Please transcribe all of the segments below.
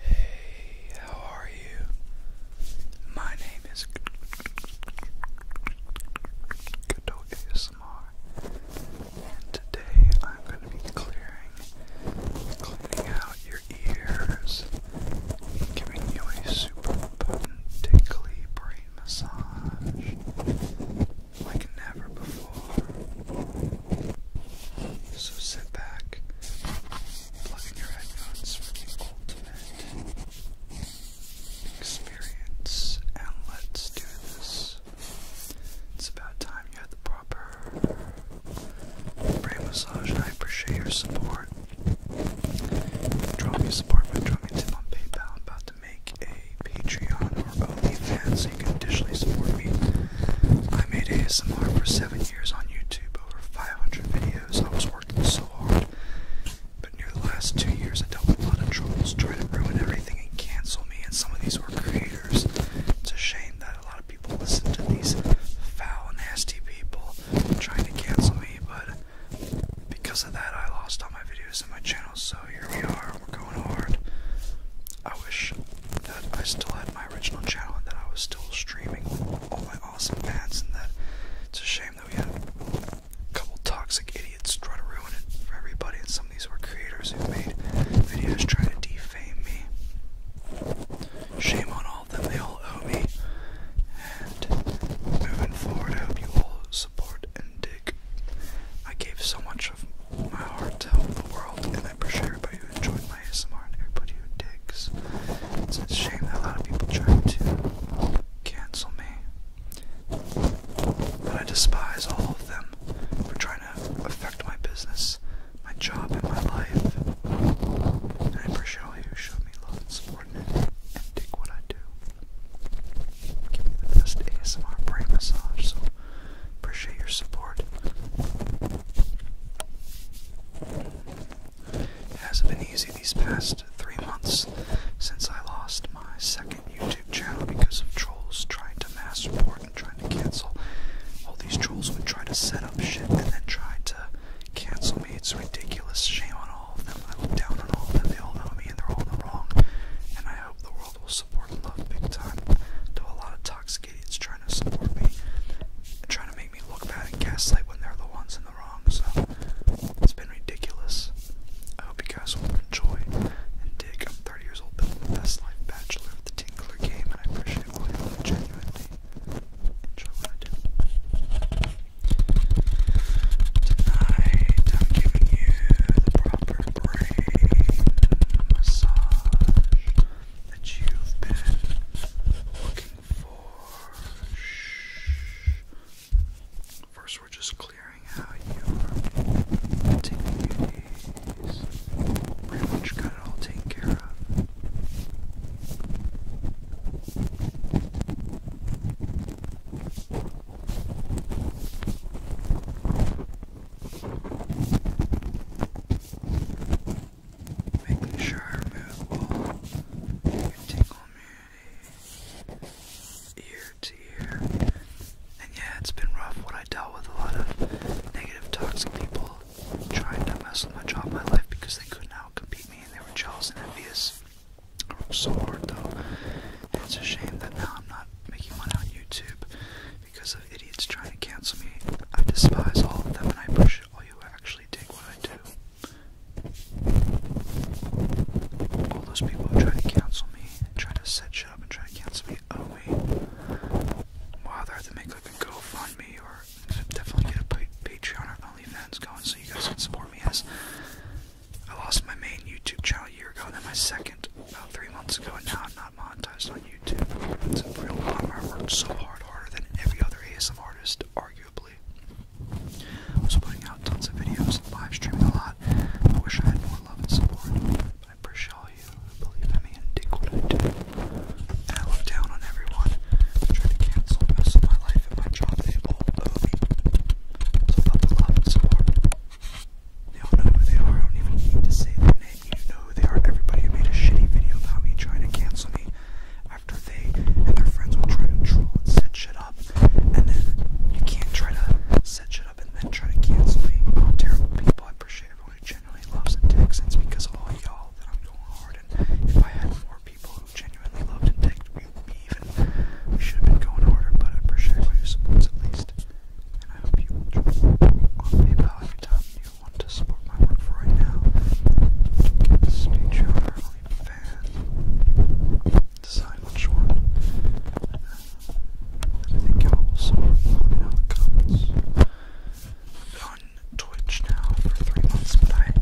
Hey, how are you? My name is Kato ASMR, and today I'm going to be clearing, cleaning out your ears, giving you a super potent brain massage like never before. So sit back, plug in your headphones for the ultimate experience, and let's do this. It's about time you had the proper brain massage, and I appreciate your support. Drop support by dropping tip on PayPal. I'm about to make a Patreon or OnlyFans so you can additionally support me. I made ASMR for seven years on YouTube, over 500 videos. I was working so hard, but near the last two years, I dealt with a lot of troubles, trying to ruin everything and cancel me. And some of these were creators. It's a shame that a lot of people listen to these foul, nasty people trying to cancel me, but because of that, I lost all my videos and my channel. So here we are we're going hard. I wish that I still had my original channel and that I was still streaming all my awesome fans. and that it's a shame that we have a couple toxic idiots trying to ruin it for everybody. And some of these were creators who made videos trying to defame me. Shame on all of them, they all owe me. And moving forward, I hope you all support dig. I gave so much of my heart to help the world, and i appreciate pretty sure everybody who enjoyed my ASMR and everybody who digs. It's a shame that a lot of people try to cancel me. But I despise all of them for trying to affect my business, my job, and my life. And I appreciate all you who showed me love and support and dig what I do give me the best ASMR brain massage, appreciate your support. It hasn't been easy these past three months since I lost my second YouTube channel because of trolls trying to mass report and trying to cancel. All these trolls would try to set up shit and then try to cancel me. It's ridiculous. Shame on all all of them. I look down on all of them. They all know me and they're all in the wrong. And I hope the world will support love big time. To a lot of toxic idiots trying to support me, trying to make me look bad and gaslight when they're the ones in the wrong. So it's been ridiculous. I hope you guys will enjoy and dig. up 30 years old, building the best life bachelor of the Tinkler game, and I appreciate all your love genuinely. Enjoy what I do. Tonight I'm giving you the proper brain massage that you've been looking for. First, we're just clearing out your tingling Pretty much got it all taken care of. Making sure I remove all your tingle immunity ear to ear. And yeah, it's been rough when I dealt with a lot of negative, toxic people trying to mess with my job, my life because they couldn't out compete me and they were jealous and envious so hard though. And it's a shame that now I'm not making money on YouTube because of idiots trying to cancel me. I despise all of them and I appreciate all you actually take what I do. All those people who try to cancel me, try to set shit up and try to cancel me, Oh, me. Why are they have to make like a GoFundMe or definitely get a Patreon or OnlyFans going so you guys can support me as I lost my main YouTube channel a year ago, and then my second about three months ago, and now I'm not monetized on YouTube. It's a real bummer. I worked so hard, harder than every other ASM artist, arguably. I was putting out tons of videos, live streaming a lot. I wish I had more love and support. But I appreciate all you who believe in me and dig what I do. I look down on everyone trying to cancel most of my life and my job. They all owe me. So about love and support. They all know who they are. I don't even need to say their name. You know who they are. Everybody who made a shitty video about me trying to cancel me after they and their friends will try to set shit up. And then you can't try to set shit up and then try to cancel me. terrible people. I appreciate everyone who loves and takes because all y'all that I'm going hard. And if I had more people who genuinely loved and thanked me even. We should have been going harder, but appreciate all at least. And I hope you will on PayPal anytime you want to support my work right now. Stay only fan. Decide which one. I think y'all will sort. me in the comments. On Twitch now for three months, but I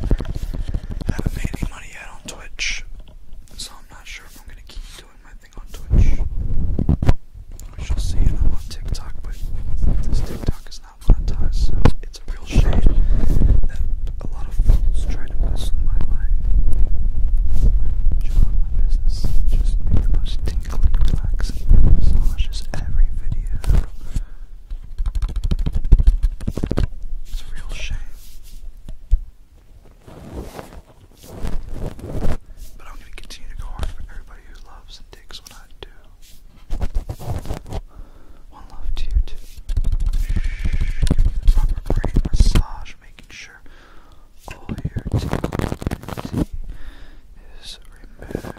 haven't made any money yet on Twitch, so I'm not sure if I'm gonna keep doing my thing on Twitch. We shall see. And I'm on TikTok, but this TikTok is not monetized, so it's a real shame that a lot of folks try to mess my life, my job, my business. Just the most tingly, relaxing massages every video. It's a real shame. But I'm going to continue to go hard for everybody who loves and digs what I do. One love to you too. Shh, proper brain massage, making sure all your tingles is removed.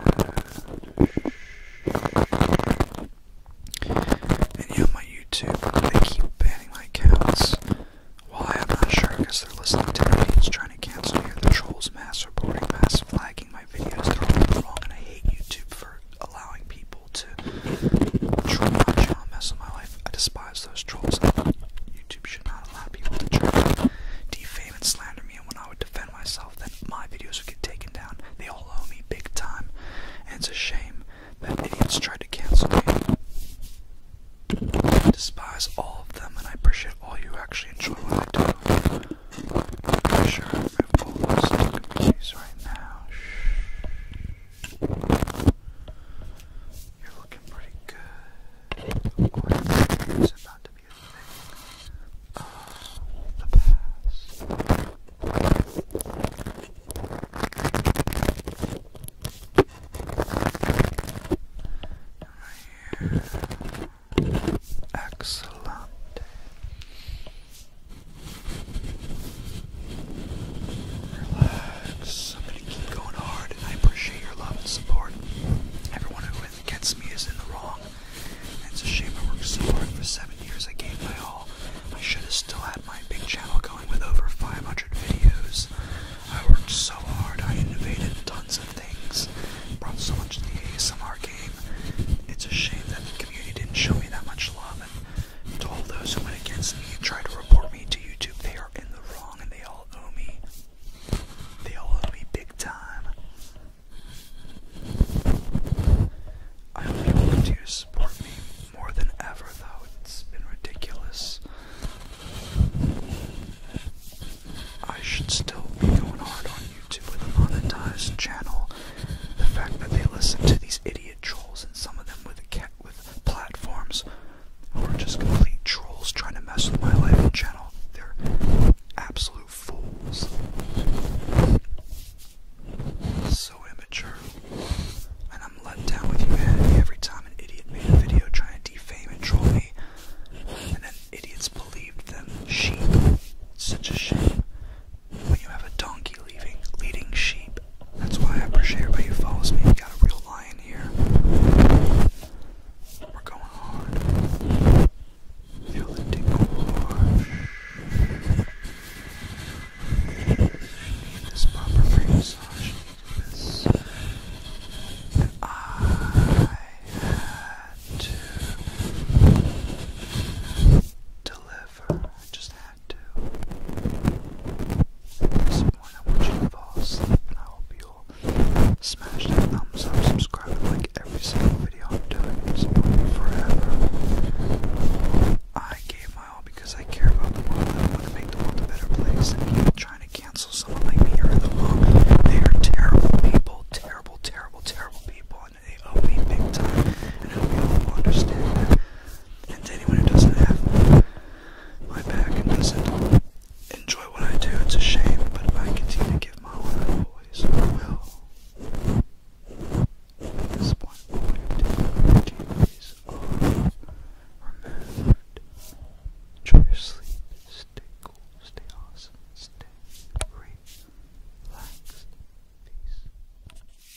And my YouTube, they keep banning my accounts. Why, I'm not sure, because they're listening to me. It's trying to cancel me. The trolls mass reporting, mass flagging my videos. They're wrong, and I hate YouTube for allowing people to troll my channel mess with my life. I despise those trolls. YouTube should not allow people to defame and slander me. And when defend myself, then my videos would get taken down. They all owe me big time. And it's a shame that idiots tried to cancel me. I despise all of them, and I appreciate all you actually enjoy what I do. I'm sure I have all right now. Shh. You're looking pretty good. it's about to music the past. Excellent. Relax. I'm gonna keep going hard. I appreciate your love and support. Everyone who gets me is in the wrong. it's a shame I worked so hard for seven years. I gave my all. I should have still had my big channel going with over 500 videos. I worked so hard. I innovated tons of things. Brought so much to the ASMR game. It's a shame that the community didn't show me that much love. And to all those who went against me and tried to report me to YouTube, they are in the wrong and they all owe me they owed me big time. I hope you continue to support me more than ever, though. It's been ridiculous. I should still be going hard on YouTube with a monetized channel. The fact that they listen to these idiot trolls and some of them with a cat with platforms who are just complete trolls trying to mess with my life and channel. They're absolute fools. So immature. And I'm let down with humanity every time an idiot made a video trying to defame and troll me. And then idiots believed them sheep. such a shame. When you have a donkey leaving, leading sheep, that's why I appreciate everybody who follows me. We got a real lion here. We're going hard. Feel the this proper massage. I had to deliver. just that I want you to fall and I hope you'll smash that thumbs up, subscribe, and like every single video I'm doing. Support me forever. I gave my all because I care about the world. I want to make the world a better place. And people trying to cancel someone like me are the wrong. They are terrible people, terrible, terrible, terrible people, and they owe me big time. And I hope understand and anyone who doesn't have my back and doesn't enjoy what I do, it's a shame, but if I continue to give my all, I always will. This point, all your difficulties are removed. Enjoy your sleep, stay cool, stay awesome, stay relaxed. Peace.